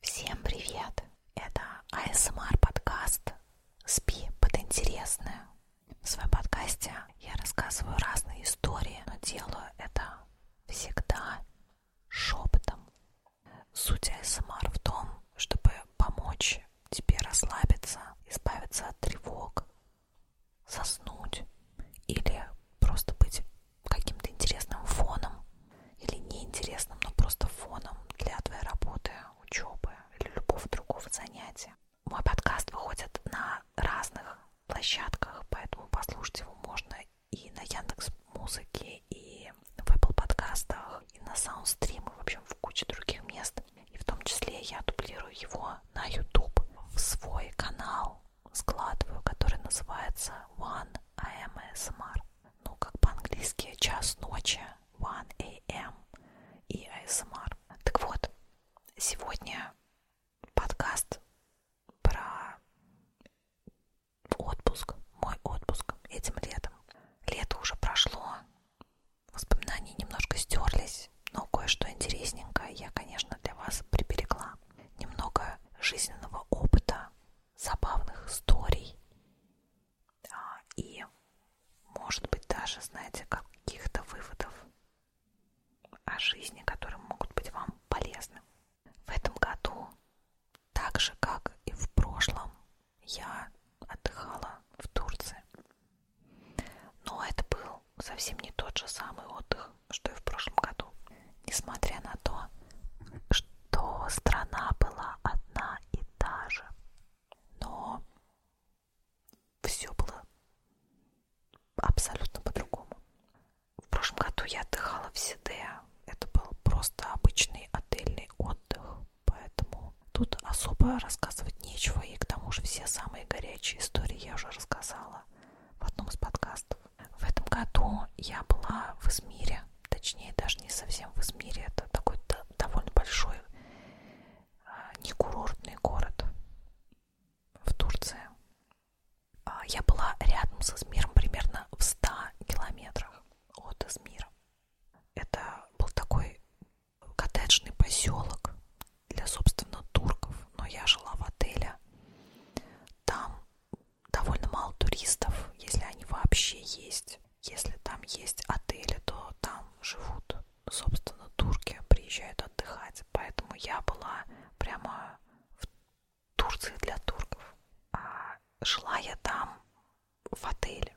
Всем привет! Это ASMR подкаст «Спи под интересное». В своем подкасте я рассказываю разные истории, но делаю это всегда шепотом. Суть ASMR в том, чтобы помочь тебе расслабиться, избавиться от тревог, заснуть или просто быть каким-то интересным фоном или неинтересным, но просто фоном для твоей работы, учебы или любого другого занятия. Мой подкаст выходит на разных площадках, поэтому послушать его можно и на Яндекс Музыке, и в Apple подкастах, и на Soundstream, и в общем в куче других мест. И в том числе я дублирую его на YouTube в свой канал, складываю, который называется One AMSMR ну как по-английски час ночи, 1 am и ASMR. Так вот, сегодня подкаст про отпуск, мой отпуск этим летом. Лето уже прошло, воспоминания немножко стерлись, но кое-что интересненькое я, конечно, для вас приберегла. Немного жизненного опыта, забавных историй а, и, может быть, даже, знаете, каких-то выводов о жизни, которые могут быть вам полезны. В этом году, так же, как и в прошлом, я отдыхала в Турции. Но это был совсем не тот же самый отдых, что и в прошлом году несмотря на то, что страна была одна и та же. Но все было абсолютно по-другому. В прошлом году я отдыхала в Сиде. Это был просто обычный отельный отдых, поэтому тут особо рассказывать нечего. И к тому же все самые горячие истории я уже рассказала в одном из подкастов. В этом году я была в Измире, точнее даже не совсем в Измире, это такой довольно большой а, не курортный город в Турции. А, я была рядом с Измиром, примерно в 100 километрах от Измира. Это был такой коттеджный поселок для, собственно, турков, но я жила в отеле. Там довольно мало туристов, если они вообще есть. Если там есть отели, то там живут, собственно, турки, приезжают отдыхать. Поэтому я была прямо в Турции для турков. А жила я там в отеле.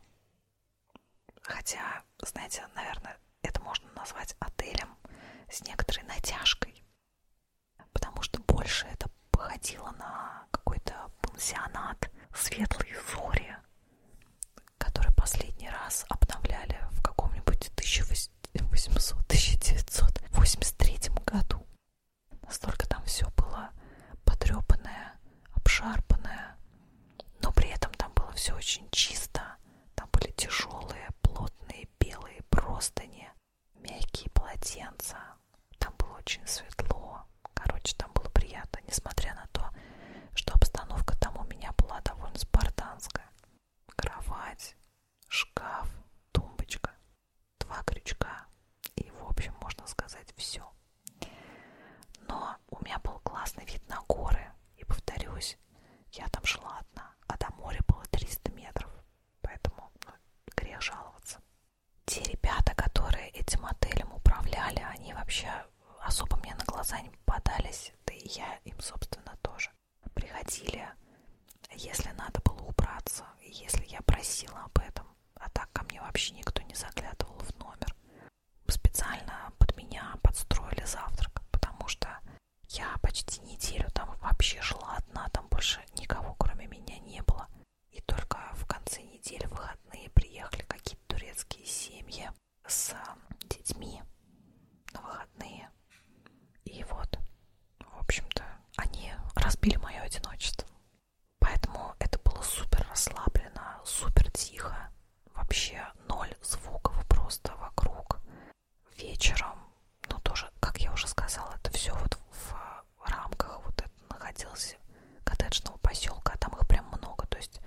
Хотя, знаете, наверное, это можно назвать отелем с некоторой натяжкой. Потому что больше это походила на какой-то пансионат светлые зори, который последний раз обновляли в каком-нибудь 1800-1983 году. Настолько там все было потрепанное, обшарпанное, но при этом там было все очень чисто. Там были тяжелые, плотные, белые простыни, мягкие полотенца, там было очень светло, короче, там было приятно, несмотря на то, что обстановка там у меня была довольно спартанская. Кровать, шкаф, тумбочка, два крючка и, в общем, можно сказать, все. Но у меня был классный вид на горы, и, повторюсь, я там шла одна, а до моря было 300 метров, поэтому ну, грех жаловаться те ребята, которые этим отелем управляли, они вообще особо мне на глаза не попадались, да и я им, собственно, тоже. Приходили, если надо было убраться, если я просила об этом, а так ко мне вообще никто не заглядывал в номер. Специально под меня подстроили завтрак, потому что я почти неделю там вообще жила одна, там больше никого кроме меня не было. И только в конце недели, выходные, приехали какие-то турецкие семьи с детьми на выходные. И вот, в общем-то, они разбили мое одиночество. Поэтому это было супер расслаблено, супер тихо. Вообще ноль звуков просто вокруг. Вечером, ну тоже, как я уже сказала, это все вот в рамках вот это находился коттеджного поселка, а там их прям много, то есть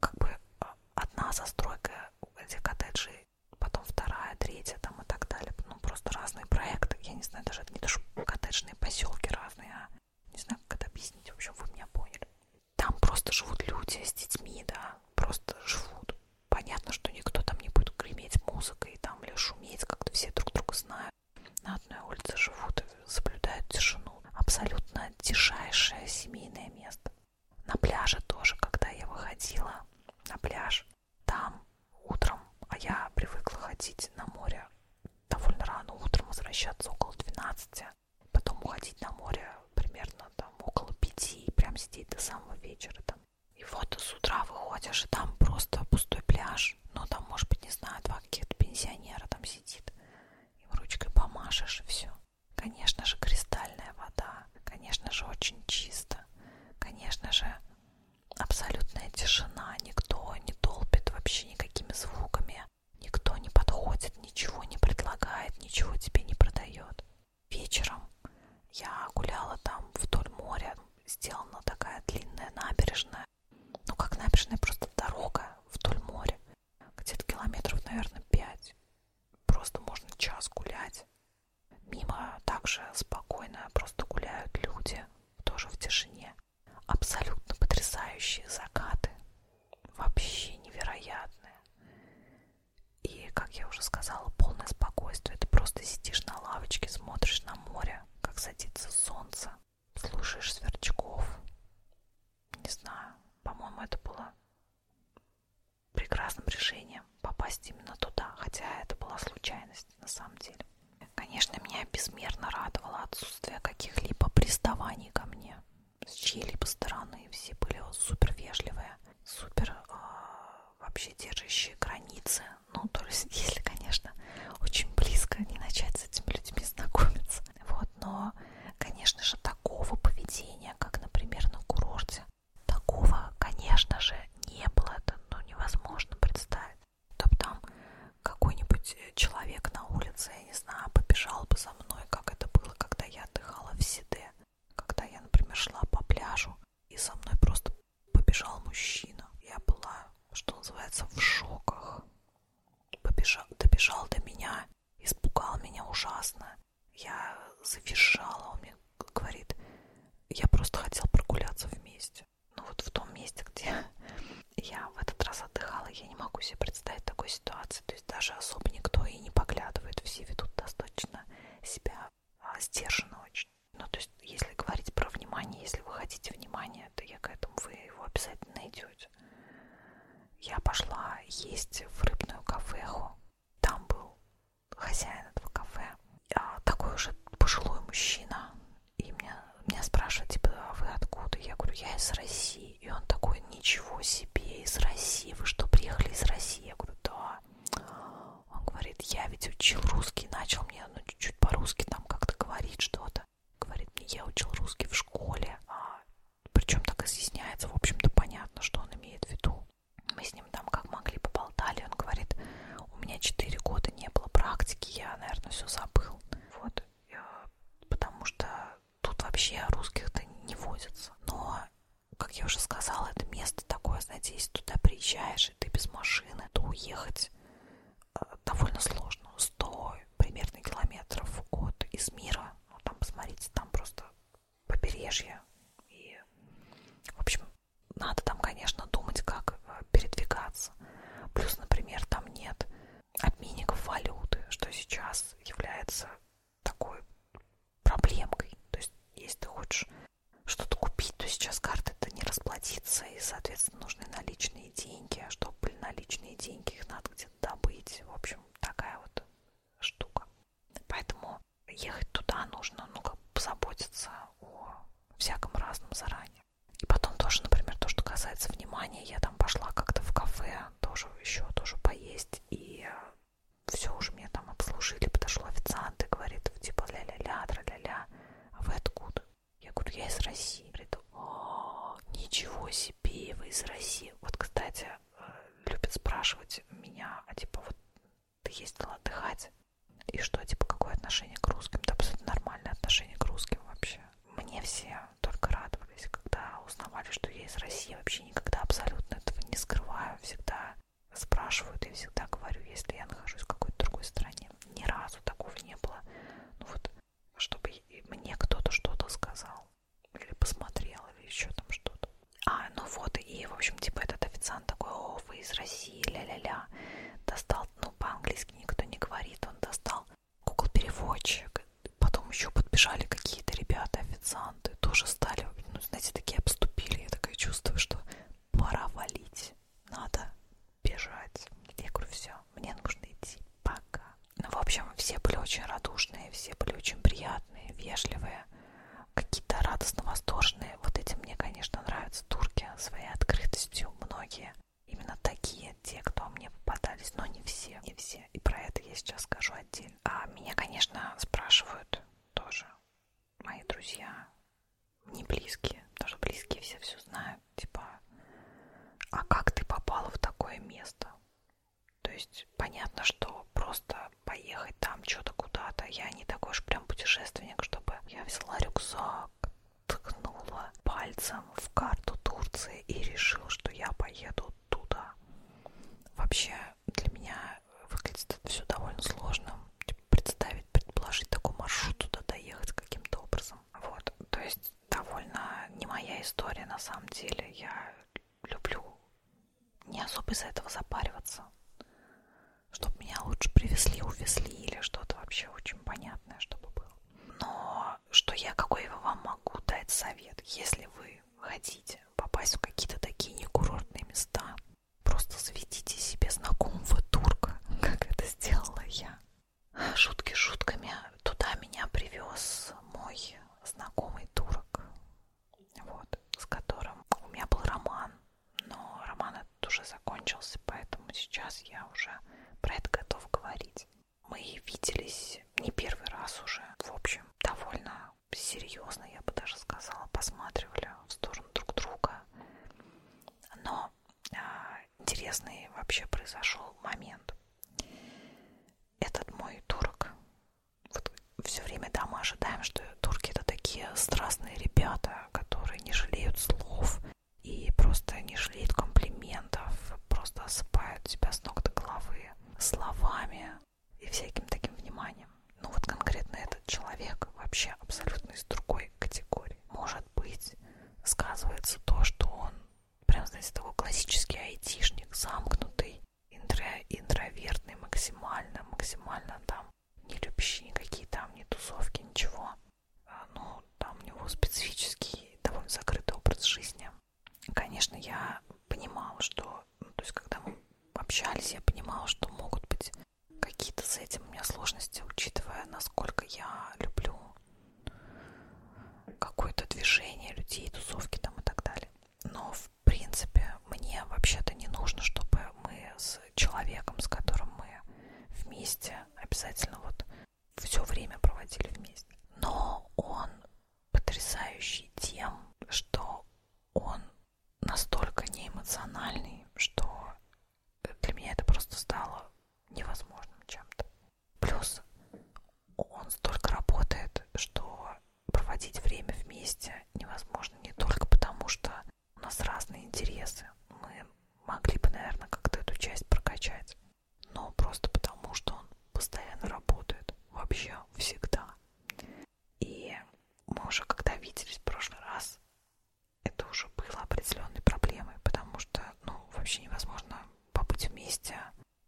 как бы а, одна застройка этих коттеджей, потом вторая, третья там и так далее, ну просто разные проекты, я не знаю, даже это не даже коттеджные поселки разные, а не знаю, как это объяснить, в общем, вы меня поняли. Там просто живут люди с детьми, да, просто живут. Понятно, что никто там не будет греметь музыкой там или шуметь, как-то все друг друга знают знаю, на одной улице живут и соблюдают тишину. Абсолютно тишайшее семейное место. На пляже тоже, когда я выходила на пляж, там утром, а я привыкла ходить на море довольно рано утром, возвращаться около 12, потом уходить на море примерно там около 5 и прям сидеть до самого вечера там. И вот с утра выходишь, и там просто пустой пляж, помашешь, ну там, может быть, не знаю, два каких-то пенсионера там сидит, им ручкой помашешь, и все. Конечно же, кристальная вода, конечно же, очень чисто, конечно же, абсолютная тишина, никто не толпит вообще никакими звуками, никто не подходит, ничего не предлагает, ничего тебе не продает. Вечером я гуляла там вдоль моря, сделана такая длинная набережная, ну как набережная, просто дорога вдоль моря, где-то километров, наверное, пять. Просто можно час гулять. Мимо также спокойно просто гуляют люди, тоже в тишине. Абсолютно потрясающие закаты, вообще невероятные. И, как я уже сказала, полное спокойствие. Ты просто сидишь на лавочке, смотришь на море, как садится солнце слушаешь Сверчков. Не знаю, по-моему, это было прекрасным решением попасть именно туда, хотя это была случайность на самом деле. Конечно, меня безмерно радовало отсутствие каких-либо приставаний ко мне с чьей-либо стороны. Все были супер вежливые, супер э, вообще держащие границы. Ну, то есть, если, конечно, очень близко не начать с этими людьми знакомиться. Вот, но, конечно же, такого поведения, как, например, на курорте, такого, конечно же, не было. Это ну, невозможно представить. То там какой-нибудь человек на улице, я не знаю, побежал бы за мной, как это было, когда я отдыхала в Сиде, когда я, например, шла по пляжу, и со мной просто побежал мужчина. Я была, что называется, в шоках побежал, добежал до меня, испугал меня ужасно. Я завизжала, он мне говорит, я просто хотел прогуляться вместе. Ну вот в том месте, где я в этот раз отдыхала, я не могу себе представить такой ситуации. То есть даже особо никто и не поглядывает, все ведут достаточно себя а, сдержанно очень. Ну то есть если говорить про внимание, если вы хотите внимания, нет, я к этому, вы его обязательно найдете. Я пошла есть в рыбную кафеху. Там был хозяин этого кафе. А такой уже пожилой мужчина. И меня, меня спрашивают, типа, а вы откуда? Я говорю, я из России. И он такой, ничего себе, из России. Вы что, приехали из России? Я говорю, да. Он говорит, я ведь учил русский, начал мне ну, чуть-чуть по-русски там как-то говорить что-то. Говорит мне, я учил русский в школе, а причем так изъясняется, в общем-то, понятно, что он имеет в виду. Мы с ним там как могли поболтали, он говорит, у меня 4 года не было практики, я, наверное, все забыл. Вот, э, потому что тут вообще русских-то не возится. Но, как я уже сказала, это место такое, знаете, если туда приезжаешь, и ты без машины, то уехать довольно сложно. 100 примерно километров от Измира. Ну, там, посмотрите, там просто побережье. И, в общем, надо там, конечно, думать, как э, передвигаться. Плюс, например, там нет обменников валюты, что сейчас является такой проблемкой. То есть, если ты хочешь что-то купить, то сейчас карта это не расплатится, и, соответственно, нужны наличные наличные деньги, а чтобы были наличные деньги, их надо где-то добыть. В общем, такая вот штука. Поэтому ехать туда нужно, ну, как бы позаботиться о всяком разном заранее. И потом тоже, например, то, что касается внимания, я там пошла как-то в кафе, тоже еще тоже поесть, и все уже меня там обслужили, подошел официант и говорит, типа, ля-ля-ля, тра-ля-ля, а вы откуда? Я говорю, я из России. Говорит, О, ничего себе, вы из России. Вот, кстати, э, любят спрашивать меня, а типа, вот ты ездила отдыхать? И что, типа, какое отношение к русским? Да абсолютно нормальное отношение к русским вообще. Мне все только радовались, когда узнавали, что я из России. Вообще никогда абсолютно этого не скрываю. Всегда спрашивают и всегда говорю, если я нахожусь в какой-то другой стране. Ни разу такого не было. Ну вот чтобы мне кто-то что-то сказал или посмотрел, или еще там что-то. А, ну вот, и, в общем, типа этот официант такой, о, вы из России, ля-ля-ля, достал, ну, по-английски никто не говорит, он достал Google-переводчик, потом еще подбежали какие-то ребята, официанты, тоже стали, ну, знаете, такие обступили, я такая чувствую, что пора валить, надо бежать. Я говорю, все, мне нужно идти, пока. Ну, в общем, все были очень радушные, все были очень приятные, вежливые, какие-то радостно восторженные. Вот эти мне, конечно, нравятся турки своей открытостью, многие. Именно такие, те, кто мне попадались, но не все, не все. И про это я сейчас скажу отдельно. А меня, конечно, спрашивают тоже мои друзья, не близкие, потому что близкие все все знают знаю, типа, а как ты попала в такое место? То есть понятно, что просто поехать там что-то куда-то. Я не такой уж прям путешественник, чтобы я взяла рюкзак, ткнула пальцем в карту Турции и решила, что я поеду туда. Вообще для меня выглядит это все довольно сложно. Типа, представить, предположить такой маршрут туда доехать каким-то образом классом. Вот, то есть довольно не моя история на самом деле. Я люблю не особо из-за этого запариваться, чтобы меня лучше привезли, увезли или что-то вообще очень понятное, чтобы было. Но что я, какой я вам могу дать совет, если вы хотите попасть в какие-то такие некурортные места, просто заведите себе знакомого турка, как это сделала я. Шутки шутками. Туда меня привез мой знакомый турок, вот, с которым у меня был роман, но роман этот уже закончился, поэтому сейчас я уже про это готов говорить. Мы виделись не первый раз уже, в общем, довольно серьезно, я бы даже сказала, посматривали в сторону друг друга, но а, интересный вообще произошел момент. Этот мой турок, вот все время да, мы ожидаем, что турки это такие страстные ребята, которые не жалеют слов и просто не жалеют комплиментов, просто осыпают тебя с ног до головы словами и всяким таким вниманием. Но ну вот конкретно этот человек вообще абсолютно из другой категории. Может быть, сказывается то, что он Прям, знаете, такой классический айтишник, замкнутый, интро, интровертный максимально, максимально там, не любящий никакие там, ни тусовки, ничего. А, ну, там у него специфический, довольно закрытый образ жизни. Конечно, я понимала, что, ну, то есть, когда мы общались, я понимала, что могут быть какие-то с этим у меня сложности, учитывая, насколько я люблю какое-то движение людей, тусовки там и так далее. Но, в принципе, мне вообще-то не нужно, чтобы мы с человеком, с которым мы вместе, обязательно вот все время проводили вместе. Но он потрясающий тем, что он настолько неэмоциональный, что для меня это просто стало невозможным чем-то. Плюс он столько работает, что проводить время вместе невозможно не только потому, что у нас разные интересы. Мы могли бы, наверное, как-то эту часть прокачать. Но просто потому, что он постоянно работает. Вообще всегда. И мы уже когда виделись в прошлый раз, это уже было определенной проблемой, потому что, ну, вообще невозможно побыть вместе.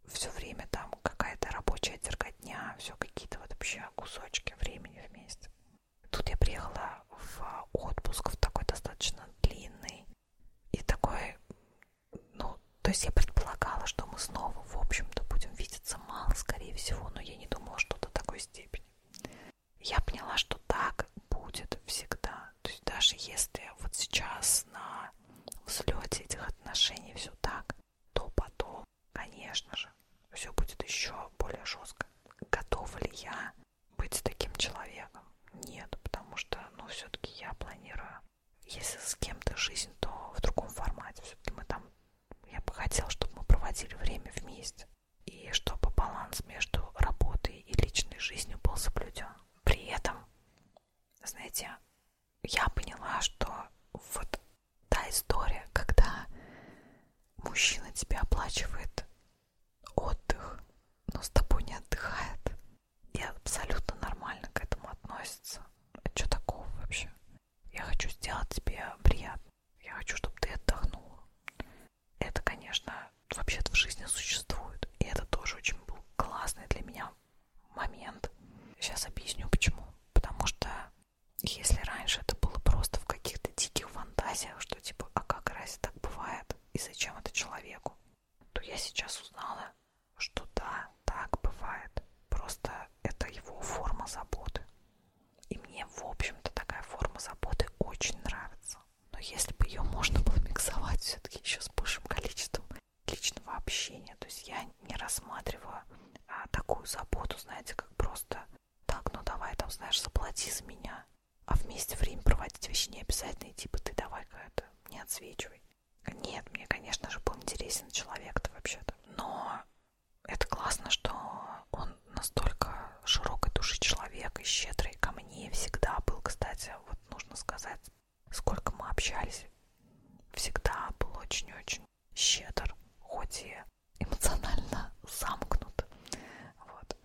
Все время там какая-то рабочая дерготня, все какие-то вот вообще кусочки времени вместе. Тут я приехала в отпуск, в такой достаточно длинный. И такой, ну, то есть я предполагала, что мы снова, в общем-то, будем видеться мало, скорее всего, но я не думала, что до такой степени. Я поняла, что так будет всегда. То есть даже если вот сейчас на взлете этих отношений все так, то потом, конечно же, все будет еще более жестко. Готова ли я быть таким человеком? Нет, потому что, ну, все-таки я планирую, если с кем-то жизнь, то в другом формате. Все-таки мы там, я бы хотела, чтобы мы проводили время вместе. И чтобы баланс между работой и личной жизнью был соблюден. При этом знаете, я поняла, что вот та история, когда мужчина тебе оплачивает отдых, но с тобой не отдыхает, и абсолютно нормально к этому относится. А что такого вообще? Я хочу сделать тебе приятно. Я хочу, чтобы ты отдохнула. Это, конечно, вообще-то в жизни существует. И это тоже очень был классный для меня момент. Сейчас объясню почему. Потому что если раньше это было просто в каких-то диких фантазиях, что типа, а как раз так бывает и зачем это человеку, то я сейчас узнала, что да, так бывает. Просто это его форма заботы. И мне, в общем-то, такая форма заботы очень нравится. Но если бы ее можно было миксовать все-таки еще с большим количеством личного общения. То есть я не рассматриваю а, такую заботу, знаете, как просто так, ну давай там, знаешь, заплати за меня. А вместе время проводить вещи не обязательно, и типа ты давай-ка это, не отсвечивай. Нет, мне, конечно же, был интересен человек-то вообще-то. Но это классно, что он настолько широкой души человек и щедрый ко мне всегда был, кстати, вот нужно сказать, сколько мы общались, всегда был очень-очень щедр, хоть и эмоционально замкнут. Вот.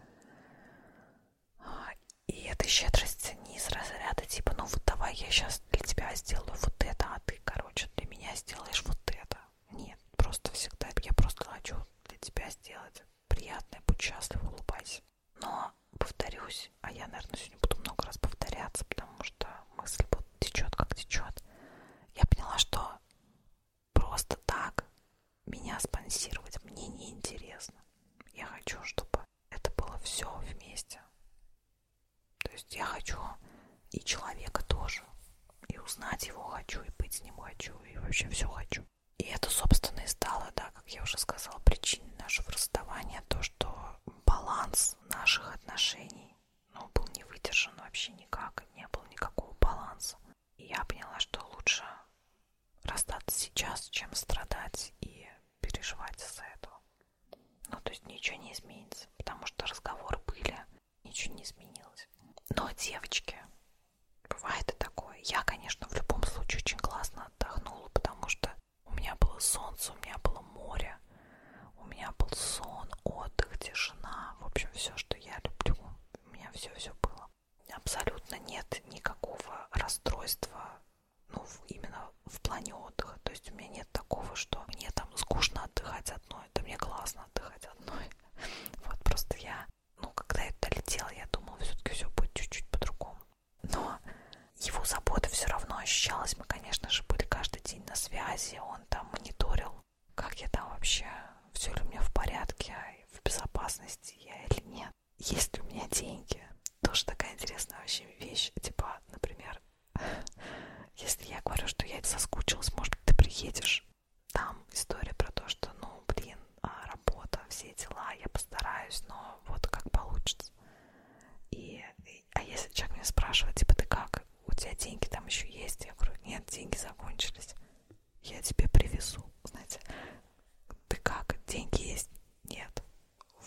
И эта щедрость не из разряда типа, ну вот давай я сейчас для тебя сделаю вот это, а ты, короче, для меня сделаешь вот это. Нет, просто всегда я просто хочу для тебя сделать приятное, будь счастлив, улыбайся делать. Но, повторюсь, а я, наверное, сегодня буду много раз повторяться, потому что мысль вот течет, как течет. Я поняла, что просто так меня спонсировать мне неинтересно. Я хочу, чтобы это было все вместе. То есть я хочу и человека тоже, и узнать его хочу, и быть с ним хочу, и вообще все хочу. И это, собственно, и стало, да, как я уже сказала, причиной нашего расставания, то, то, что баланс наших отношений ну, был не выдержан вообще никак, не было никакого баланса. И я поняла, что лучше расстаться сейчас, чем страдать и переживать из-за этого. Ну, то есть ничего не изменится, потому что разговоры были, ничего не изменилось. Но, девочки, бывает и такое. Я, конечно, в любом случае очень классно отдохнула, потому что у меня было солнце, у меня было море, у меня был сон, отдых, тишина. В общем, все, что я люблю, у меня все-все было. Абсолютно нет никакого расстройства, ну, именно в плане отдыха. То есть у меня нет такого, что мне там скучно отдыхать одной, да мне классно отдыхать одной. Вот просто я, ну, когда я долетела, я думала, все-таки все будет чуть-чуть по-другому но его забота все равно ощущалась. Мы, конечно же, были каждый день на связи, он там мониторил, как я там вообще, все ли у меня в порядке, а в безопасности я или нет, есть ли у меня деньги. Тоже такая интересная вообще вещь, типа, например, если я говорю, что я соскучилась, может быть, ты приедешь. Там история про то, что, ну, блин, а, работа, все дела, я постараюсь, но вот как получится. И, и, а если человек меня спрашивает, типа, ты как, у тебя деньги там еще есть? Я говорю, нет, деньги закончились. Я тебе привезу, знаете. Ты как, деньги есть? Нет.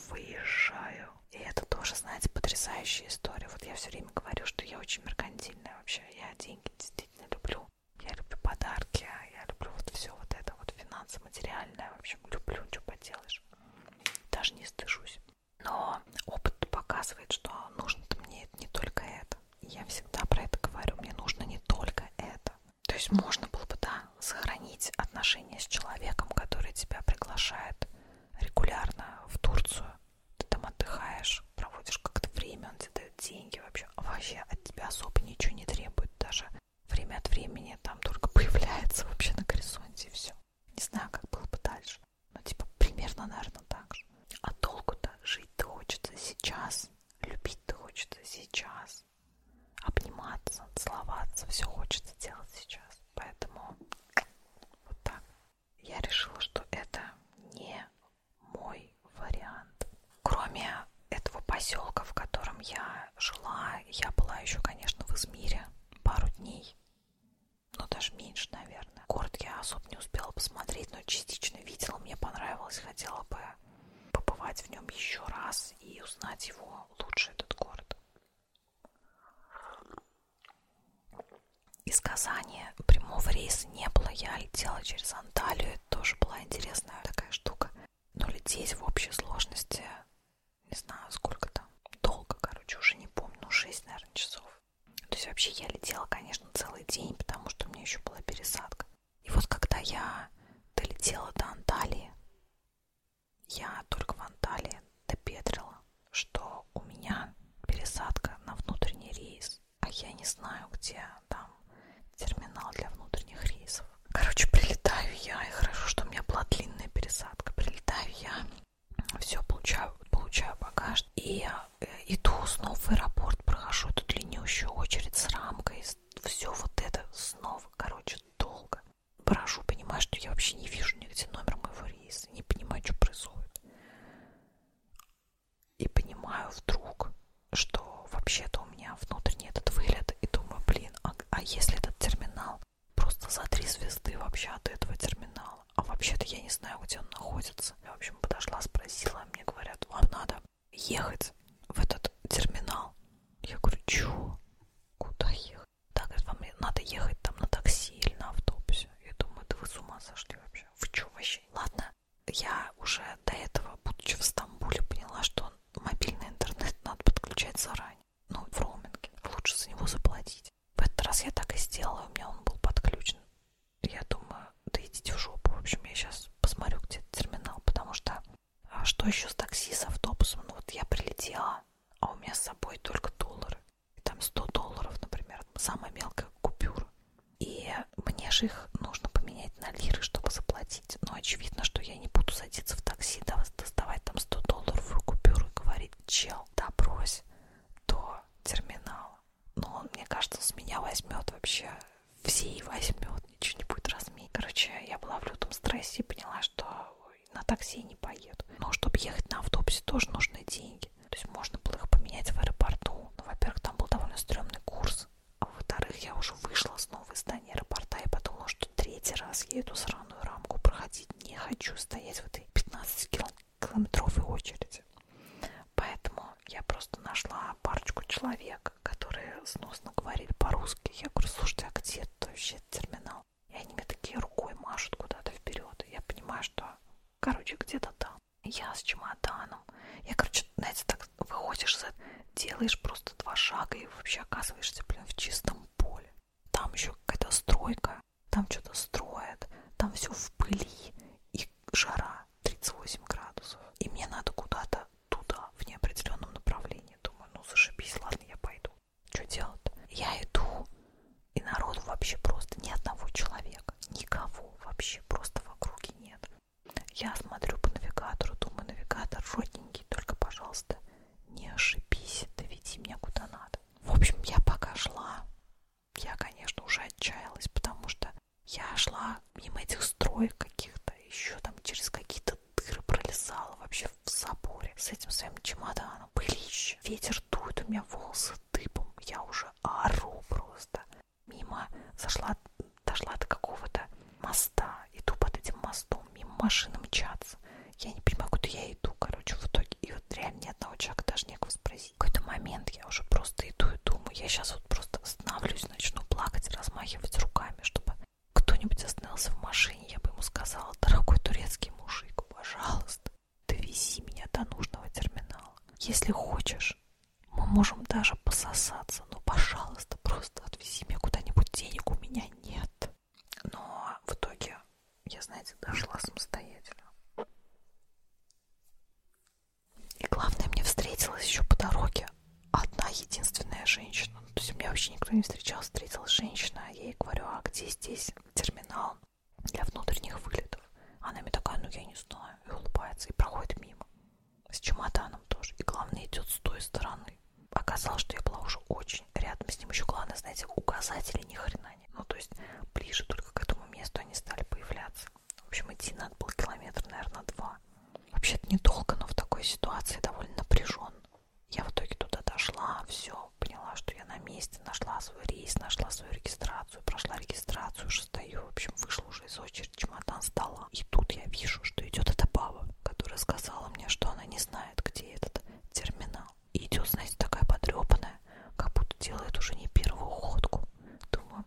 Выезжаю. И это тоже, знаете, потрясающая история. Вот я все время говорю, что я очень меркантильная вообще. Я деньги действительно люблю. Я люблю подарки, я люблю вот все вот это, вот финансы, материальное. В общем, люблю, что поделаешь знаешь. Даже не стыжусь. Но опыт показывает, что нужно мне не только это. Я всегда про это говорю. Мне нужно не только это. То есть можно было бы, да, сохранить отношения с человеком, который тебя приглашает регулярно в Турцию. Ты там отдыхаешь, проводишь как-то время, он тебе дает деньги вообще. Вообще от тебя особо ничего не требует. Даже время от времени там только появляется вообще на горизонте и все. Не знаю, как было бы дальше. Но типа примерно, наверное, так же. А толку-то жить-то хочется сейчас, любить-то хочется сейчас, обниматься, целоваться, все хочется делать сейчас. Поэтому вот так. Я решила, что это не мой вариант. Кроме этого поселка, в котором я жила, я была еще, конечно, в Измире пару дней, ну даже меньше, наверное. Город я особо не успела посмотреть, но частично видела, мне понравилось, хотела бы побывать в нем еще раз и узнать его лучше, этот город. Из Казани прямого рейса не было, я летела через Анталию, это тоже была интересная такая штука. Но лететь в общей сложности не знаю сколько там, долго, короче, уже не помню, ну 6, наверное, часов. То есть вообще я летела, конечно, целый день, потому что у меня еще была пересадка. И вот когда я долетела до Анталии, я только в Анталии допетрила, что у меня пересадка на внутренний рейс, а я не знаю, где там терминал для внутренних рейсов. Короче, прилетаю я, и хорошо, что у меня была длинная пересадка. Прилетаю я, все, получаю, получаю багаж. И э, иду снова в аэропорт, прохожу эту длиннющую очередь с рамкой. Все вот это снова, короче, долго. Брожу, понимаю, что я вообще не вижу нигде номер моего рейса, не понимаю, что происходит. И понимаю вдруг, что вообще-то у меня внутренний этот вылет, и думаю, блин, а, а если этот терминал просто за три звезды вообще от этого терминала. А вообще-то я не знаю, где он находится. Я, в общем, подошла, спросила, а мне говорят, вам надо ехать в этот терминал. Я говорю, чего? Куда ехать? Да, говорит, вам надо ехать там на такси или на автобусе. Я думаю, да вы с ума сошли вообще. Вы что вообще? Ладно, я уже до этого, будучи в Стамбуле, поняла, что мобильный интернет надо подключать заранее ну, в роуминге, лучше за него заплатить. В этот раз я так и сделала, у меня он был подключен. Я думаю, да идите в жопу. В общем, я сейчас посмотрю, где терминал, потому что а что еще с такси, с автобусом? Ну вот я прилетела, а у меня с собой только доллары. И там 100 долларов, например, самая мелкая купюра. И мне же их нужно поменять на лиры, чтобы заплатить. Но очевидно, что я не буду садиться в такси, да, доставать там 100 долларов купюру и говорить, чел, добрось до терминала. Но он, мне кажется, с меня возьмет вообще, все и возьмет, ничего не будет разменить. Короче, я была в лютом стрессе и поняла, что на такси не поеду. Но чтобы ехать на автобусе, тоже нужны деньги. То есть можно было их поменять в аэропорту. Но, ну, во-первых, там был довольно стрёмный курс. А во-вторых, я уже вышла снова из здания аэропорта и подумала, потому что третий раз я эту сраную рамку проходить не хочу, стоять в этой 15-километровой очереди. Поэтому я просто нашла парочку человек, которые сносно говорили по-русски. Я говорю, слушайте, а где это вообще терминал? И они мне такие рукой машут куда-то вперед. И я понимаю, что, короче, где-то там. Я с чемоданом. Я, короче, знаете, так выходишь, делаешь просто два шага и вообще оказываешься, блин, в чистом поле там еще какая-то стройка, там что-то строят, там все в пыли и жара 38 градусов. И мне надо куда-то туда, в неопределенном направлении. Думаю, ну зашибись, ладно, я пойду. Что делать? Я иду, и народу вообще просто ни одного человека, никого вообще просто в округе нет. Я смотрю по навигатору, думаю, навигатор родненький, только, пожалуйста, не ошибись, доведи меня куда надо. В общем, я пока шла, я, конечно, уже отчаялась, потому что я шла мимо этих строек каких-то, еще там через какие-то дыры пролезала вообще в заборе с этим своим чемоданом. Пылище, ветер дует, у меня волосы дыбом, я уже ору просто. Мимо зашла, дошла до какого-то моста, иду под этим мостом, мимо машины мчаться я не понимаю, куда я иду, короче, в итоге. И вот реально ни одного человека даже некого спросить. В какой-то момент я уже просто иду и думаю, я сейчас вот просто остановлюсь, начну плакать, размахивать руками, чтобы кто-нибудь остановился в машине, я бы ему сказала, дорогой турецкий мужик, пожалуйста, довези меня до нужного терминала. Если хочешь, мы можем даже пососаться, но, пожалуйста, просто отвези меня куда-нибудь, денег у меня нет. Но в итоге я, знаете, дошла самостоятельно. И главное, мне встретилась еще по дороге одна единственная женщина. Ну, то есть у меня вообще никто не встречал, встретилась женщина. А я ей говорю, а где здесь терминал для внутренних вылетов? Она мне такая, ну я не знаю. И улыбается, и проходит мимо. С чемоданом тоже. И главное, идет с той стороны оказалось, что я была уже очень рядом с ним. Еще главное, знаете, указатели ни хрена нет. Ну, то есть ближе только к этому месту они стали появляться. В общем, идти надо было километр, наверное, два. Вообще-то недолго, но в такой ситуации довольно напряженно. Я в итоге туда дошла, все, поняла, что я на месте, нашла свой рейс, нашла свою регистрацию, прошла регистрацию, уже стою, в общем, вышла уже из очереди, чемодан сдала. И тут я вижу, что идет эта баба, которая сказала мне, что она не знает, где этот терминал. И идет, знаете, такая потрепанная, как будто делает уже не первую ходку. Думаю,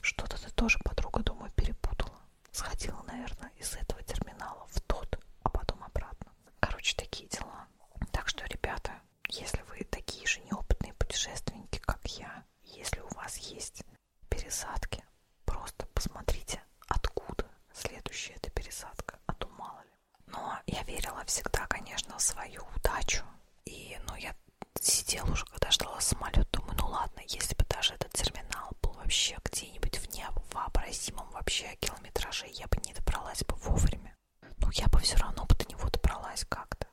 что-то ты тоже, подруга, думаю, перепутала. Сходила, наверное, из этого терминала в тот, а потом обратно. Короче, такие дела. Так что, ребята, если вы такие же неопытные путешественники, как я, если у вас есть пересадки, просто посмотрите, откуда следующая эта пересадка, а то мало ли. Но я верила всегда, конечно, в свою удачу. И, ну, я сидела уже, когда ждала самолет, думаю, ну ладно, если бы даже этот терминал был вообще где-нибудь в невообразимом вообще километраже, я бы не добралась бы вовремя. Но ну, я бы все равно бы до него добралась как-то.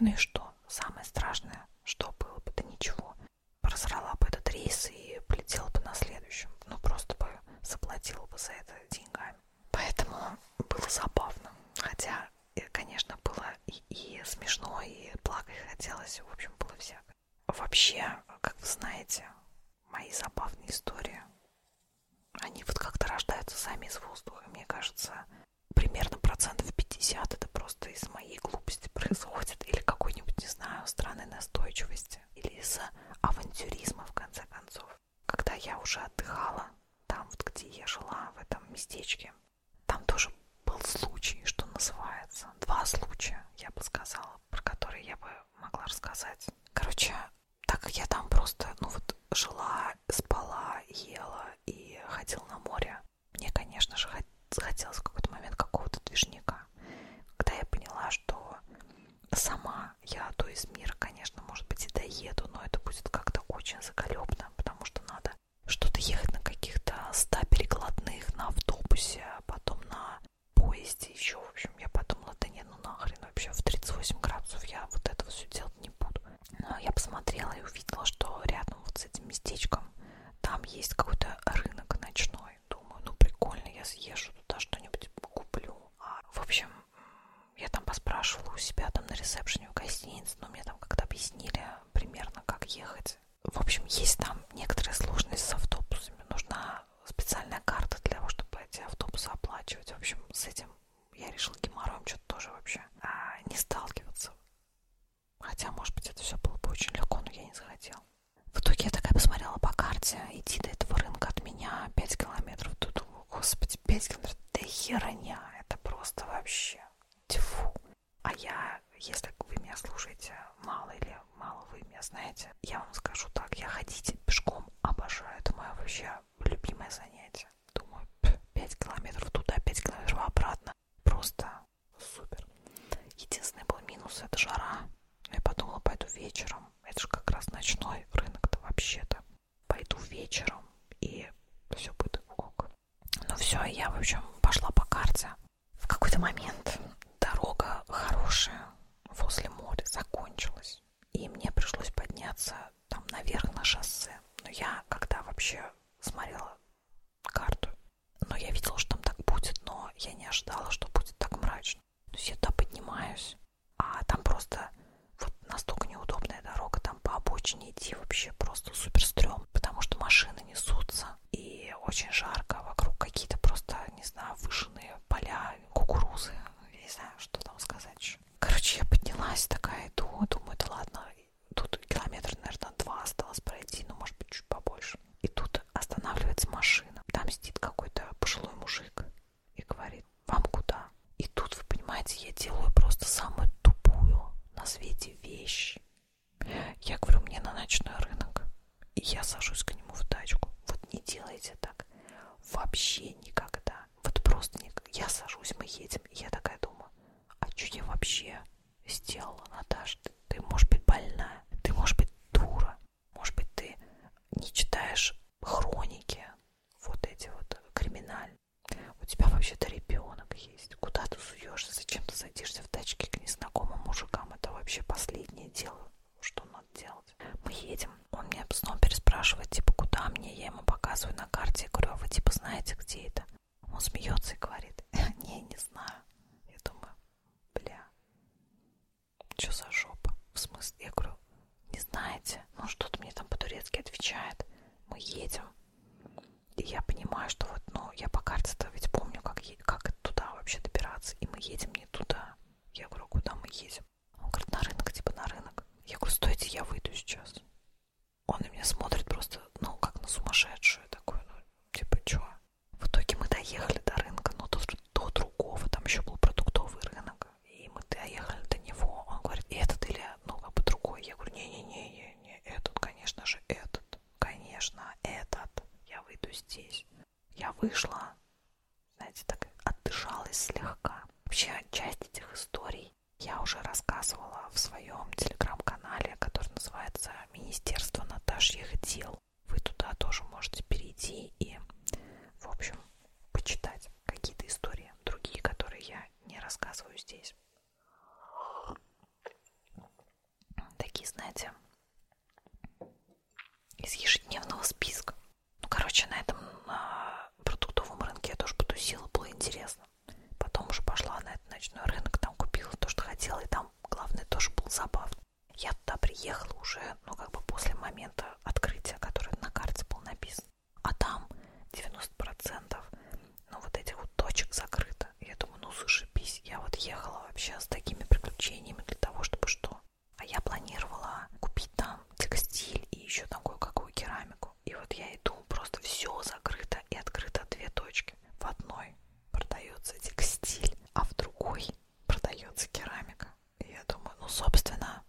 Ну и что? Самое страшное, что было бы, да ничего. Просрала бы этот рейс и полетела бы на следующем. Ну просто бы заплатила бы за это деньгами. Поэтому было забавно. Хотя, э, конечно, было и, и смешно, и плакать хотелось. В общем, было всякое. Вообще, как вы знаете, мои забавные истории, они вот как-то рождаются сами из воздуха. Мне кажется, примерно процентов 50 это просто из моей глупости происходит или какой-нибудь, не знаю, странной настойчивости месте или из-за авантюризма, в конце концов. Когда я уже отдыхала там, вот, где я жила, в этом местечке, там тоже был случай, что называется. Два случая, я бы сказала, про которые я бы могла рассказать. Короче, так как я там просто, ну вот, жила, спала, ела и ходила на море, мне, конечно же, хотелось в какой-то момент какого-то движника. Когда я поняла, что сама. Я то из мира, конечно, может быть, и доеду, но это будет как-то очень заколебно, потому что надо что-то ехать на каких-то 100 перекладных, на автобусе, а потом на поезде еще. В общем, я подумала, да не, ну нахрен, вообще в 38 градусов я вот этого все делать не буду. Но я посмотрела и увидела, что рядом вот с этим местечком там есть какой-то рынок ночной. Думаю, ну прикольно, я съезжу туда что-нибудь куплю. А, в общем, я там поспрашивала у себя там на ресепшене в гостинице, но мне там как-то объяснили примерно, как ехать. В общем, есть там некоторые сложности с автобусами. Нужна специальная карта для того, чтобы эти автобусы оплачивать. В общем, с этим я решила геморроем что-то тоже вообще а, не сталкиваться. Хотя, может быть, это все было бы очень легко, но я не захотела. В итоге я такая посмотрела по карте, идти до этого рынка от меня 5 километров. Тут, господи, 5 километров, да херня, это просто вообще, тьфу. А я, если вы меня слушаете, мало или мало вы меня знаете, я вам скажу так, я ходить пешком обожаю, это мое вообще любимое занятие. Думаю, 5 километров туда, 5 километров обратно, просто супер. Единственный был минус, это жара. Но я подумала, пойду вечером, это же как раз ночной рынок-то вообще-то. Пойду вечером, и все будет ок. Ну все, я, в общем, пошла по карте. В какой-то момент дорога хорошая возле моря закончилась, и мне пришлось подняться там наверх на шоссе. Но я, когда вообще смотрела карту, но ну, я видела, что там так будет, но я не ожидала, что будет так мрачно. То есть я туда поднимаюсь, а там просто вот настолько неудобная дорога, там по обочине идти вообще просто супер стрём, потому что машины несутся, и очень жарко, вокруг какие-то просто, не знаю, выжженные поля, кукурузы, я не знаю, что там сказать еще. Короче, я поднялась такая, иду, думаю, да ладно, тут километр, наверное, два осталось пройти, ну, может быть, чуть побольше. И тут останавливается машина, там сидит какой-то пожилой мужик, и говорит, вам куда? И тут, вы понимаете, я делаю просто самую тупую на свете вещь. Я говорю, мне на ночной рынок. И я сажусь к нему в тачку. Вот не делайте так. Вообще никогда. Вот просто не... я сажусь, мы едем. И я такая думаю, а что я вообще сделала, Наташа? Ты, ты, может быть, больная. Ты, может быть, дура. Может быть, ты не читаешь хроники, вот эти вот криминальные. У тебя вообще-то ребенок есть. Куда ты суешься? Зачем ты садишься в тачке к незнакомым мужикам? Это вообще последнее дело, что надо делать. Мы едем. Он меня снова переспрашивает, типа, куда мне? Я ему показываю на карте. Я говорю, а вы типа знаете, где это? Он смеется и говорит, не, не знаю. Я думаю, бля, что за жопа? В смысле? Я говорю, не знаете? Ну, что-то мне там по-турецки отвечает. Мы едем. И я понимаю, что вот, ну, я по карте-то ведь помню, как, как туда вообще добираться. И мы едем не туда. Я говорю, куда мы едем? Он говорит, на рынок, типа на рынок. Я говорю, стойте, я выйду сейчас. Он на меня смотрит просто, ну, как на сумасшедшую такую, ну, типа, чё? В итоге мы доехали до рынка, но до, до другого, там еще был продуктовый рынок человека. И мы доехали до него, он говорит, этот или, ну, как бы другой. Я говорю, не-не-не, этот, конечно же, этот, конечно, этот. Я выйду здесь. Я вышла, знаете, так отдышалась слегка. Вообще, часть этих историй я уже рассказывала в своем телеграм-канале, который называется «Министерство Наташьих дел». Вы туда тоже можете перейти и, в общем, почитать какие-то истории, другие, которые я не рассказываю здесь. Такие, знаете, из ежедневного списка. Ну, короче, на этом на продуктовом рынке я тоже потусила, было интересно. Потом уже пошла на этот ночной рынок, там купила то, что хотела, и там, главное, тоже был забавно. Я туда приехала уже, ну, как бы после момента открытия, который на карте был написан. А там 90% ну, вот этих вот точек закрыто. Я думаю, ну, зашибись. Я вот ехала вообще с такими приключениями для того, чтобы что? А я планировала купить там текстиль и еще там кое-какую керамику. И вот я иду, просто все закрыто и открыто две точки. В одной продается текстиль, а в другой продается керамика. И я думаю, ну, собственно,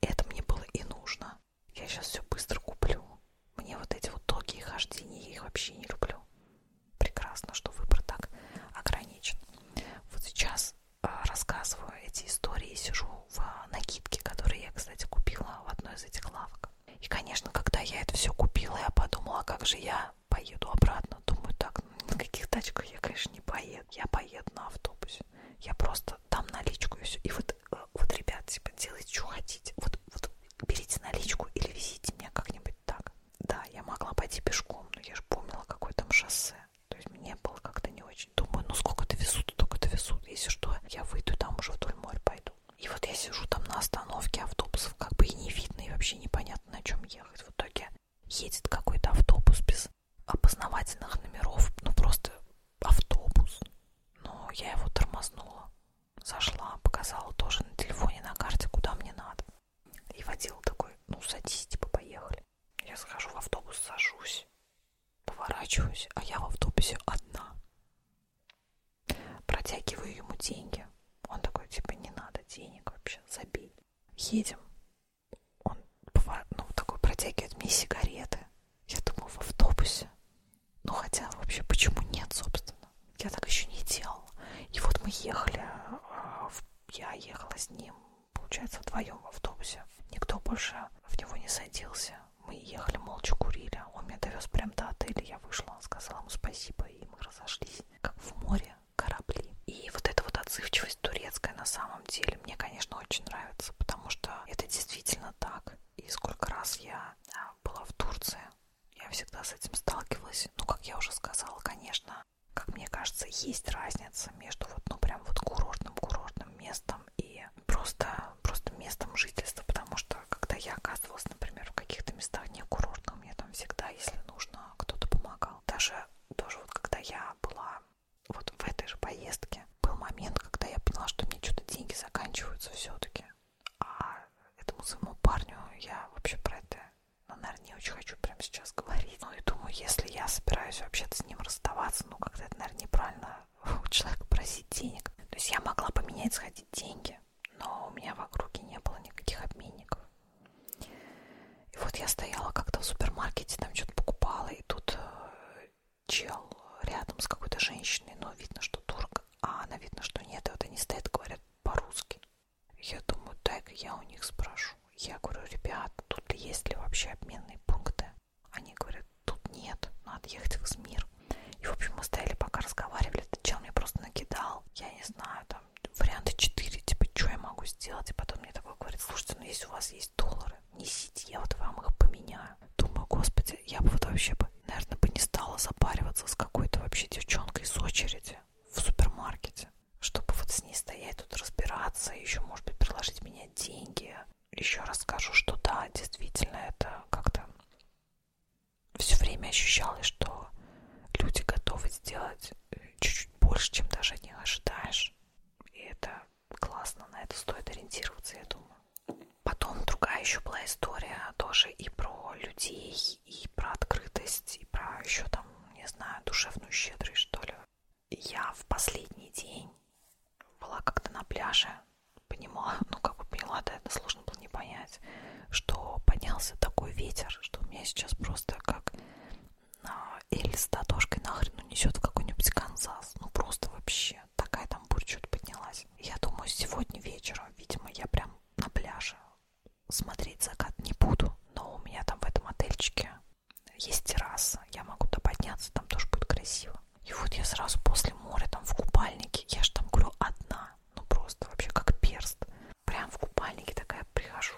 это мне было и нужно. Я сейчас все быстро куплю. Мне вот эти вот долгие хождения, я их вообще не люблю. Прекрасно, что выбор так ограничен. Вот сейчас а, рассказываю эти истории, сижу в а, накидке, которые я, кстати, купила в одной из этих лавок. И, конечно, когда я это все купила, я подумала, а как же я поеду обратно. Думаю, так, ну, на каких тачках я, конечно, не поеду. Я поеду на автобусе. Я просто дам наличку и все. И вот, э, вот ребят, типа, делайте, что хотите. Вот, вот берите наличку или везите меня как-нибудь так. Да, я могла пойти пешком, но я же помнила, какое там шоссе. То есть мне было как-то не очень. Думаю, ну сколько довезут, только довезут. Если что, я выйду там уже вдоль моря пойду. И вот я сижу там на остановке автобусов, как бы и не видно, и вообще непонятно, на чем ехать. В итоге едет какой-то автобус без опознавательных номеров, ну просто автобус. Но я его тормознула, зашла, показала тоже на телефоне, на карте, куда мне надо. И водил такой, ну садись, типа поехали. Я захожу в автобус, сажусь, поворачиваюсь, а я в автобусе одна. Протягиваю ему деньги. Он такой, типа, не надо денег вообще, забей. Едем он бывает, ну, такой протягивает мне сигареты. Я думаю, в автобусе. Ну, хотя вообще, почему нет, собственно? Я так еще не делала. И вот мы ехали, а, я ехала с ним, получается, вдвоем в автобусе. Никто больше в него не садился. Мы ехали, молча курили. Он меня довез прямо до отеля. Я вышла, сказала ему спасибо, и мы разошлись. Как в море корабли. И вот эта вот отзывчивость турецкая на самом самом деле мне, конечно, очень нравится, потому что это действительно так. И сколько раз я а, была в Турции, я всегда с этим сталкивалась. Ну, как я уже сказала, конечно, как мне кажется, есть разница между вот, ну, прям вот курортным-курортным местом и просто, просто местом жительства, потому что, когда я оказывалась, например, в каких-то местах не курортных, мне там всегда, если нужно, кто-то помогал. Даже, тоже вот, когда я была вот в этой же поездке был момент, когда я поняла, что мне что-то деньги заканчиваются все-таки. А этому своему парню я вообще про это, ну, наверное, не очень хочу прямо сейчас говорить. Ну и думаю, если я собираюсь вообще-то с ним расставаться, ну как-то это, наверное, неправильно у человека просить денег. То есть я могла поменять, сходить деньги, но у меня в округе не было никаких обменников. И вот я стояла как-то в супермаркете, там что-то покупала, и тут э, чел рядом с какой-то женщиной, но видно, что турк, а она видно, что нет, и вот они стоят, говорят по-русски. Я думаю, дай-ка я у них спрошу. Я говорю, ребят, тут есть ли вообще обменные пункты? Они говорят, тут нет, надо ехать в Измир. И, в общем, мы стояли, пока разговаривали, этот чел мне просто накидал, я не знаю, там, варианты 4, типа, что я могу сделать? И потом мне такой говорит, слушайте, ну если у вас есть доллары, несите, я вот вам их поменяю. Думаю, господи, я бы вот вообще, бы, наверное, бы не стала запариваться с какой-то вообще девчонкой из очереди в супермаркете, чтобы вот с ней стоять тут разбираться, еще, может быть, приложить меня деньги. Еще раз скажу, что да, действительно, это как-то все время ощущалось, что люди готовы сделать чуть-чуть больше, чем даже не ожидаешь. И это классно, на это стоит ориентироваться, я думаю. Потом другая еще была история тоже и про людей, и про открытость, и про еще там, не знаю, душевную щедрость, что ли. Я в последний день была как-то на пляже, понимала, ну как бы поняла, да, это сложно было не понять, что поднялся такой ветер, что у меня сейчас просто как Эль а, с Татошкой нахрен унесет в какой-нибудь Канзас. Ну просто вообще. Такая там бурь чуть поднялась. Я думаю, сегодня вечером, видимо, я прям на пляже смотреть закат не буду. Но у меня там в этом отельчике есть терраса. Я могу туда подняться, там тоже будет красиво. И вот я сразу после моря там в купальнике. Я же там, говорю, одна. Ну просто вообще как перст. Прям в купальнике такая прихожу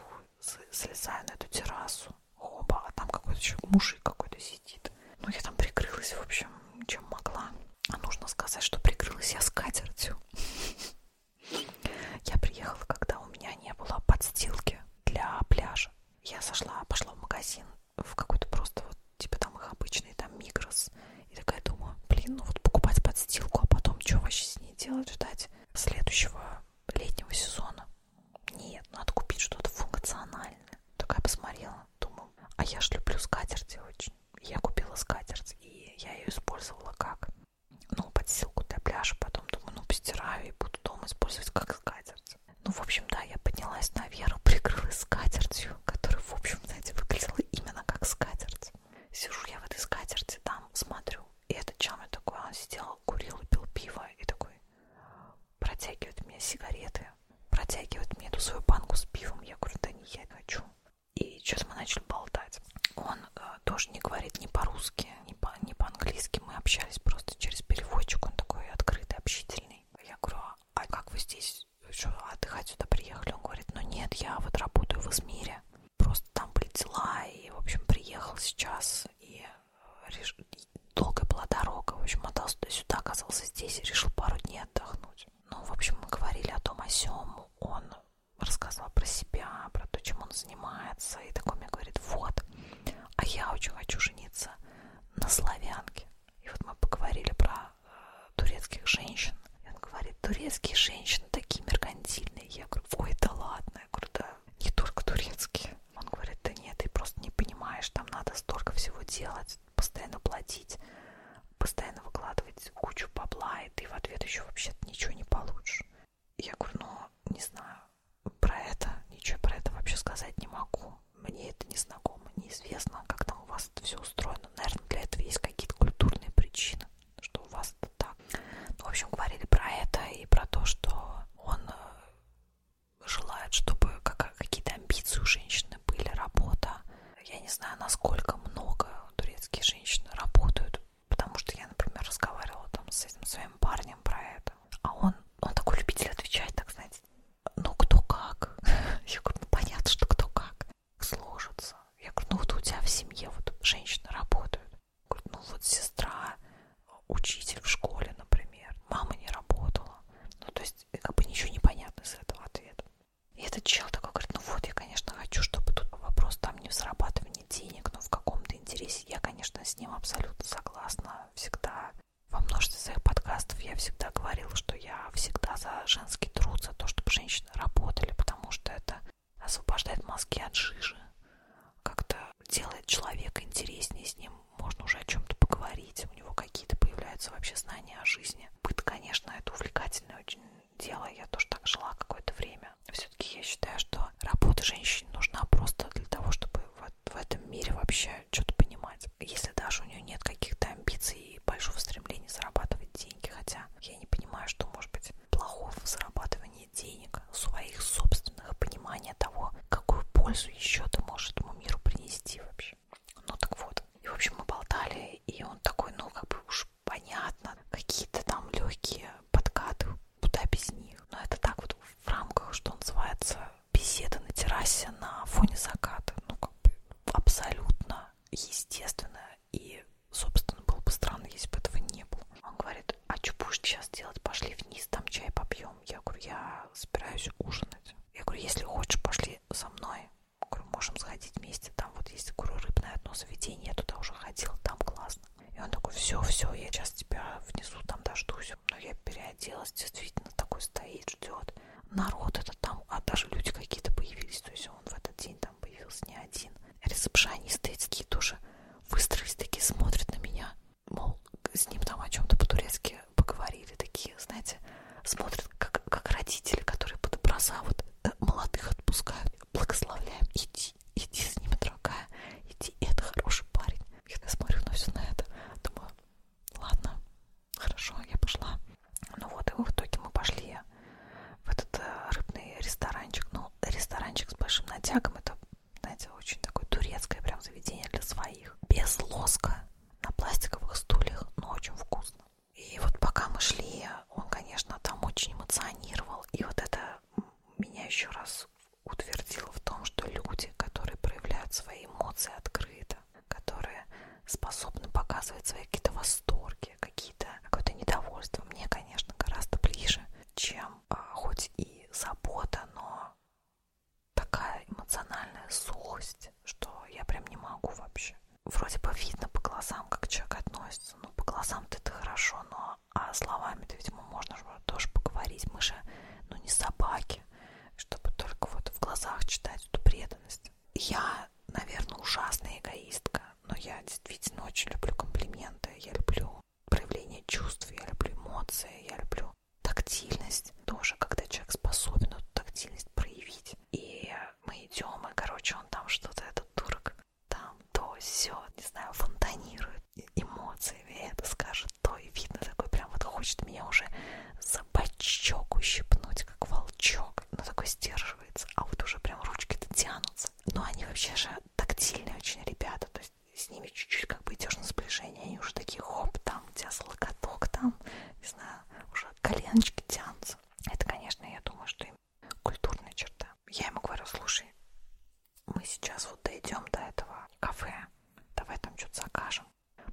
слезаю на эту террасу, хоба, а там какой-то еще мужик какой-то сидит. Ну, я там прикрылась, в общем, чем могла. А нужно сказать, что прикрылась я скатертью. Я приехала, когда у меня не было подстилки для пляжа. Я сошла, пошла в магазин, в какой-то просто вот, типа там их обычный, там микрос. И такая думаю, блин, ну вот покупать подстилку, а потом что вообще с ней делать, ждать следующего летнего сезона. Нет, надо купить что-то функциональное. Такая посмотрела, думаю, а я ж люблю скатерти очень. Я купила скатерть, и я ее использовала как, ну, подстилку для пляжа. Потом думаю, ну, постираю и буду дома использовать как скатерть. Ну, в общем, да, я поднялась наверх, прикрылась скатертью, которая, в общем, знаете, выглядела именно как скатерть. Сижу я в этой скатерти, там смотрю, и этот чам такой, он сидел, курил и пил пиво, и такой, протягивает мне сигареты, протягивает мне эту свою банку с пивом. Я говорю, да не, я не хочу. И сейчас мы начали болтать. Он э, тоже не говорит ни по-русски, ни, по, ни по-английски. Мы общались просто через переводчик. Он такой открытый, общительный. Я говорю, а, а как вы здесь что, а отдыхать сюда приехали? Он говорит, ну нет, я вот работаю в Измире. Просто там были дела, и, в общем, приехал сейчас. И реш... долгая была дорога, в общем, мотался сюда, оказался здесь и решил пару дней отдохнуть. Ну, в общем, мы говорили о том, о сём, он рассказывал про себя, про то, чем он занимается, и такой мне говорит, вот, а я очень хочу жениться на славянке. И вот мы поговорили про э, турецких женщин, и он говорит, турецкие женщины такие меркантильные. Я говорю, ой, да ладно, я говорю, да, не только турецкие. Он говорит, да нет, ты просто не понимаешь, там надо столько всего делать, постоянно платить, постоянно выкладывать кучу бабла, и ты в ответ еще вообще-то ничего не получишь. Я говорю, ну, не знаю, про это, ничего про это вообще сказать не могу. Мне это не знакомо, неизвестно, как там у вас это все устроено. Наверное, для этого есть какие-то культурные причины, что у вас это так. Ну, в общем, говорили про это и про то, что он э, желают, чтобы какие-то амбиции у женщины были, работа. Я не знаю, насколько много турецкие женщины работают, потому что я, например, разговаривала там с этим своим парнем про это, а он, он такой любитель отвечать, так знаете, ну кто как. Я говорю, ну понятно, что кто как сложится. Я говорю, ну вот у тебя в семье вот женщины работают. Говорю, ну вот сестра учитель в школе, например, мама не работала. Ну, то есть, э, как бы ничего не понятно из этого ответа. И этот чел такой говорит, ну вот, я, конечно, хочу, чтобы тут вопрос там не в зарабатывании денег, но в каком-то интересе. Я, конечно, с ним абсолютно согласна. Всегда во множестве своих подкастов я всегда говорила, что я всегда за женский труд, за то, чтобы женщины работали, потому что это освобождает мозги от жижи, как-то делает человека интереснее, с ним можно уже о чем-то поговорить, у него какие-то появляются вообще знания о жизни. Быт, конечно, это увлекательное очень дело, я тоже так жила какое-то время. Все-таки я считаю, что работа женщин нужна просто для того, чтобы в, в этом мире вообще что-то понимать. Если даже у нее нет каких-то амбиций и большого стремления зарабатывать деньги, хотя я не понимаю, что может быть плохого в зарабатывании денег, своих собственных пониманий понимание того, какую пользу еще ты можешь этому миру принести вообще. Ну так вот. И, в общем, мы болтали, и он такой, ну, как бы уж понятно, какие-то там легкие подкаты, куда без них. Но это так вот в рамках, что называется, беседа на террасе на фоне заката. Ну, как бы абсолютно естественно. И, собственно, было бы странно, если бы этого не было. Он говорит, а что будешь сейчас делать? Пошли вниз, там чай попьем пьем. Я говорю, я собираюсь ужинать. Я говорю, если хочешь, пошли со мной. Я говорю, можем сходить вместе. Там вот есть, говорю, рыбное одно заведение. Я туда уже ходила, там классно. И он такой, все, все, я сейчас тебя внизу там дождусь. Но я переоделась, действительно, такой стоит, ждет. Народ это там, а даже люди какие-то появились. То есть он в этот день там появился не один. Ресепшонисты эти тоже выстроились такие, смотрят на меня мол, с ним там о чем-то по-турецки поговорили, такие, знаете, смотрят, как, как родители, которые под образа вот э, молодых отпускают, благословляем, иди, иди с ними, дорогая, иди, это хороший парень. Я смотрю на все на это, думаю, ладно, хорошо, я пошла. Ну вот, и в итоге мы пошли в этот э, рыбный ресторанчик, ну, ресторанчик с большим натягом, это знаете, очень такое турецкое прям заведение для своих. Без лоска, на пластиковых стульях, но очень вкусно. И вот пока мы шли, он, конечно, там очень эмоционировал. И вот это меня еще раз утвердило в том, что люди, которые проявляют свои эмоции открыто, которые способны показывать свои какие-то восторги, какие-то какое-то недовольство, мне, конечно, гораздо ближе, чем а, хоть и забота, но такая эмоциональная сухость, что я прям не могу вообще. Вроде бы видно по глазам, как человек относится. Ну, по глазам-то это хорошо, но а словами-то, видимо, можно же тоже поговорить. Мы же, ну, не собаки, чтобы только вот в глазах читать эту преданность. Я, наверное, ужасная эгоистка, но я действительно очень люблю комплименты. Я люблю проявление чувств, я люблю эмоции, я люблю тактильность тоже, когда человек способен эту тактильность проявить. И мы идем, и, короче, он там что-то, этот турок, там то, все, не знаю, фонтанирует эмоциями, это скажет то, и видно такой прям вот хочет меня уже за бочок ущипнуть, как волчок, но ну, такой сдерживается, а вот уже прям ручки-то тянутся. Но они вообще же тактильные очень ребята, то с ними чуть-чуть как бы идешь на сближение, они уже такие, хоп, там, у тебя локоток там, не знаю, уже коленочки тянутся. Это, конечно, я думаю, что им культурная черта. Я ему говорю, слушай, мы сейчас вот дойдем до этого кафе, давай там что-то закажем.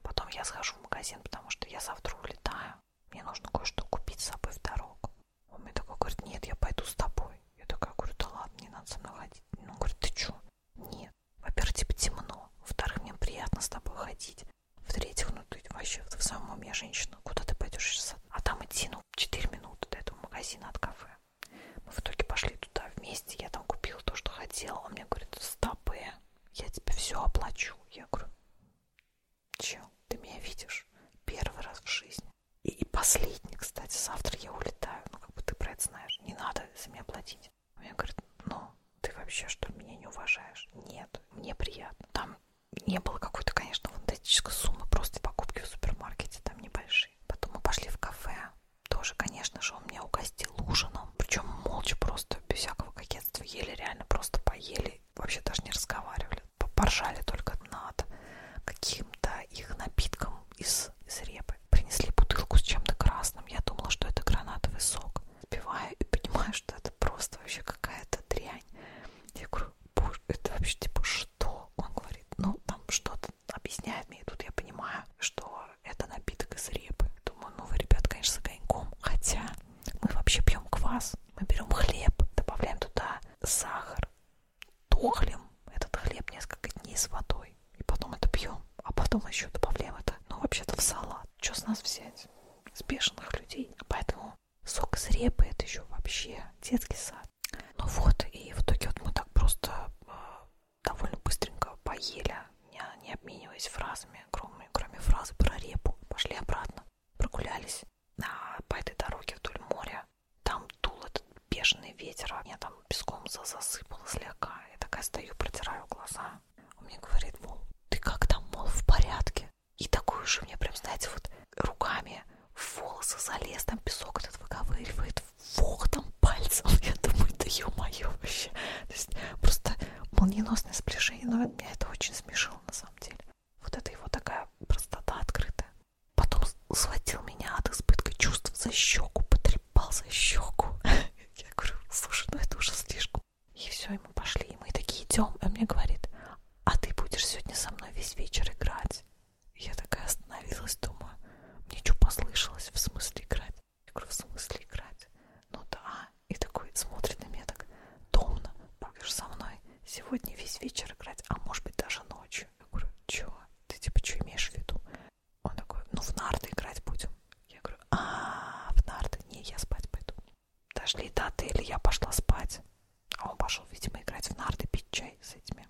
Потом я схожу в магазин, потому что я завтра улетаю. Мне нужно кое-что купить с собой в дорогу. Он мне такой говорит, нет, я пойду с тобой. Я такая говорю, да ладно, не надо со мной ходить. Он говорит, ты чё? Нет. Во-первых, типа темно. Во-вторых, мне приятно с тобой ходить. В-третьих, ну ты вообще в самом уме женщина. Куда ты пойдешь сейчас? А там идти, ну, 4 минуты до этого магазина от кафе. Мы в итоге пошли туда вместе. Я там купила то, что хотела. Он мне говорит, стопы, э, я тебе все оплачу. Я говорю, чел, ты меня видишь первый раз в жизни. И, и последний, кстати, завтра я улетаю. Ну, как бы ты про это знаешь. Не надо за меня платить. Мне а говорят, ну, ты вообще что, меня не уважаешь? Нет, мне приятно. Там не было какой-то, конечно, фантастической суммы, просто покупки в супермаркете там небольшие. Потом мы пошли в кафе. Тоже, конечно же, он меня угостил ужином. Причем молча просто, без всякого кокетства, ели реально просто поели. Вообще даже не разговаривали. Поржали только над каким-то их напитком из, из репы. Принесли бутылку с чем-то красным. Я думала, что это гранатовый сок. Сбиваю и понимаю, что это просто вообще какая-то дрянь. Я говорю, боже, это вообще типа что? Он говорит, ну там что-то объясняет мне. И тут я понимаю, что это напиток из репы. Думаю, ну вы, ребят, конечно, с огоньком. Хотя мы вообще пьем квас. Мы берем хлеб, добавляем туда сахар, тухлим этот хлеб несколько дней с водой водой. И потом это пьем, а потом еще добавляем это, ну, вообще-то в салат. Что с нас взять? С бешеных людей. Поэтому сок из репы это еще вообще детский сад. Ну вот, и в итоге вот мы так просто э, довольно быстренько поели, не, не обмениваясь фразами, кроме, кроме фразы про репу. Пошли обратно, прогулялись на, по этой дороге вдоль моря. Там дул этот бешеный ветер, меня а там песком засыпало слегка. Я такая стою, протираю глаза, он мне говорит, мол, ты как там, мол, в порядке? И такой же мне прям, знаете, вот руками в волосы залез, там песок этот выковыривает, там пальцем. Я думаю, да ё-моё вообще. То есть просто молниеносное сближение, но меня это очень смешило на самом деле. Вот это его такая простота открытая. Потом схватил меня от избытка чувств за щеку, потрепал ебал за щеку. Я говорю, слушай, ну это уже слишком. И все, и мы пошли, и мы такие идем. Он а мне говорит, а ты будешь сегодня со мной весь вечер играть? Я такая остановилась, думаю, мне что послышалось, в смысле играть? Я говорю, в смысле играть? Ну да. И такой смотрит на меня так, томно, будешь со мной сегодня весь вечер играть, а может быть даже ночью. Я говорю, чё? Ты типа что имеешь в виду? Он такой, ну в нарды играть будем. Я говорю, а в нарды? Не, я спать пойду. Дошли до отеля, я пошла спать. А он пошел, видимо, играть в нарды, пить чай с этими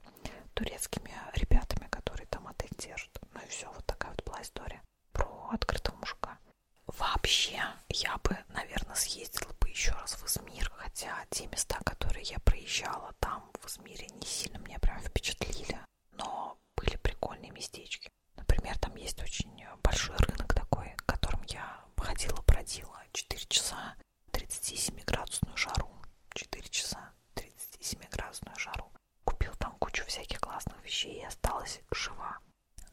турецкими ребятами, которые там отель держат. Ну и все, вот такая вот была история про открытого мужика. Вообще, я бы, наверное, съездила бы еще раз в Измир, хотя те места, которые я проезжала там в Измире, не сильно меня прям впечатлили но были прикольные местечки. Например, там есть очень большой рынок такой, в котором я ходила, бродила 4 часа 37-градусную жару. 4 часа 37-градусную жару. Купил там кучу всяких классных вещей и осталась жива.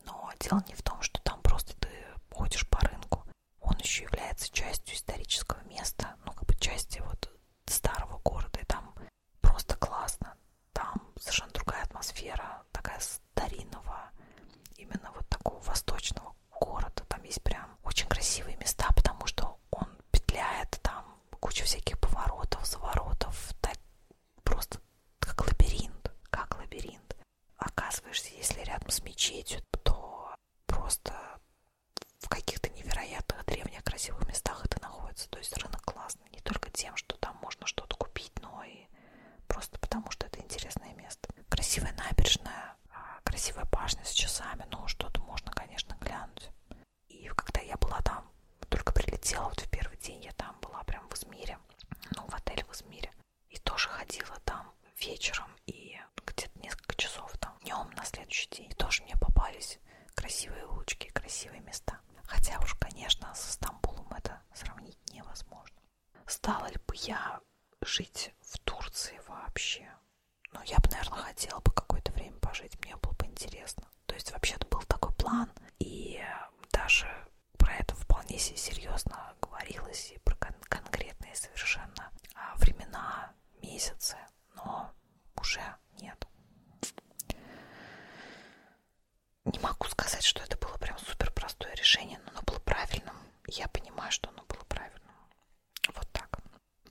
Но дело не в том, что там просто ты ходишь по рынку. Он еще является частью исторического места, ну как бы частью вот старого города. И там просто классно. Там совершенно другая атмосфера, такая старинного, именно вот такого восточного города. Там есть прям очень красивые места, потому что он петляет, там куча всяких поворотов, заворотов, так, просто как лабиринт, как лабиринт. Оказываешься, если рядом с мечетью, то просто в каких-то невероятных древних красивых местах это находится. То есть рынок класс интересно. Не только тем, что там можно что-то купить, но и просто потому, что это интересное место. Красивая набережная, а, красивая башня с часами, ну, что-то можно, конечно, глянуть. И когда я была там, только прилетела, вот в первый день я там была прям в Измире, ну, в отеле в Измире. И тоже ходила там вечером и где-то несколько часов там днем на следующий день. И тоже мне попались красивые улочки, красивые места. Хотя уж, конечно, со Стамбулом это сравнить невозможно. Стала ли бы я жить в Турции вообще? Ну, я бы, наверное, хотела бы какое-то время пожить, мне было бы интересно. То есть, вообще-то был такой план, и даже про это вполне себе серьезно говорилось, и про кон конкретные совершенно а, времена, месяцы, но уже нет не могу сказать, что это было прям супер простое решение, но оно было правильным. Я понимаю, что оно было правильным. Вот так.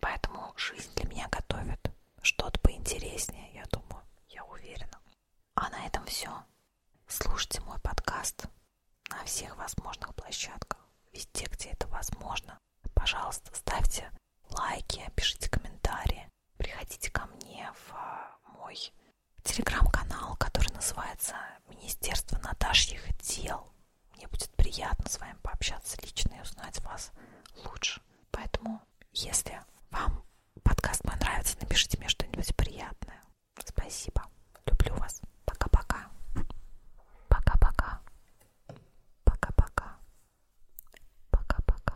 Поэтому жизнь для меня готовит что-то поинтереснее, я думаю, я уверена. А на этом все. Слушайте мой подкаст на всех возможных площадках, везде, где это возможно. Пожалуйста, ставьте лайки, пишите комментарии вами. Приходите ко мне в а, мой телеграм-канал, который называется «Министерство Наташьих дел». Мне будет приятно с вами пообщаться лично и узнать вас лучше. Поэтому, если вам подкаст мой нравится, напишите мне что-нибудь приятное. Спасибо. Люблю вас. Пока-пока. Пока-пока. Пока-пока. Пока-пока.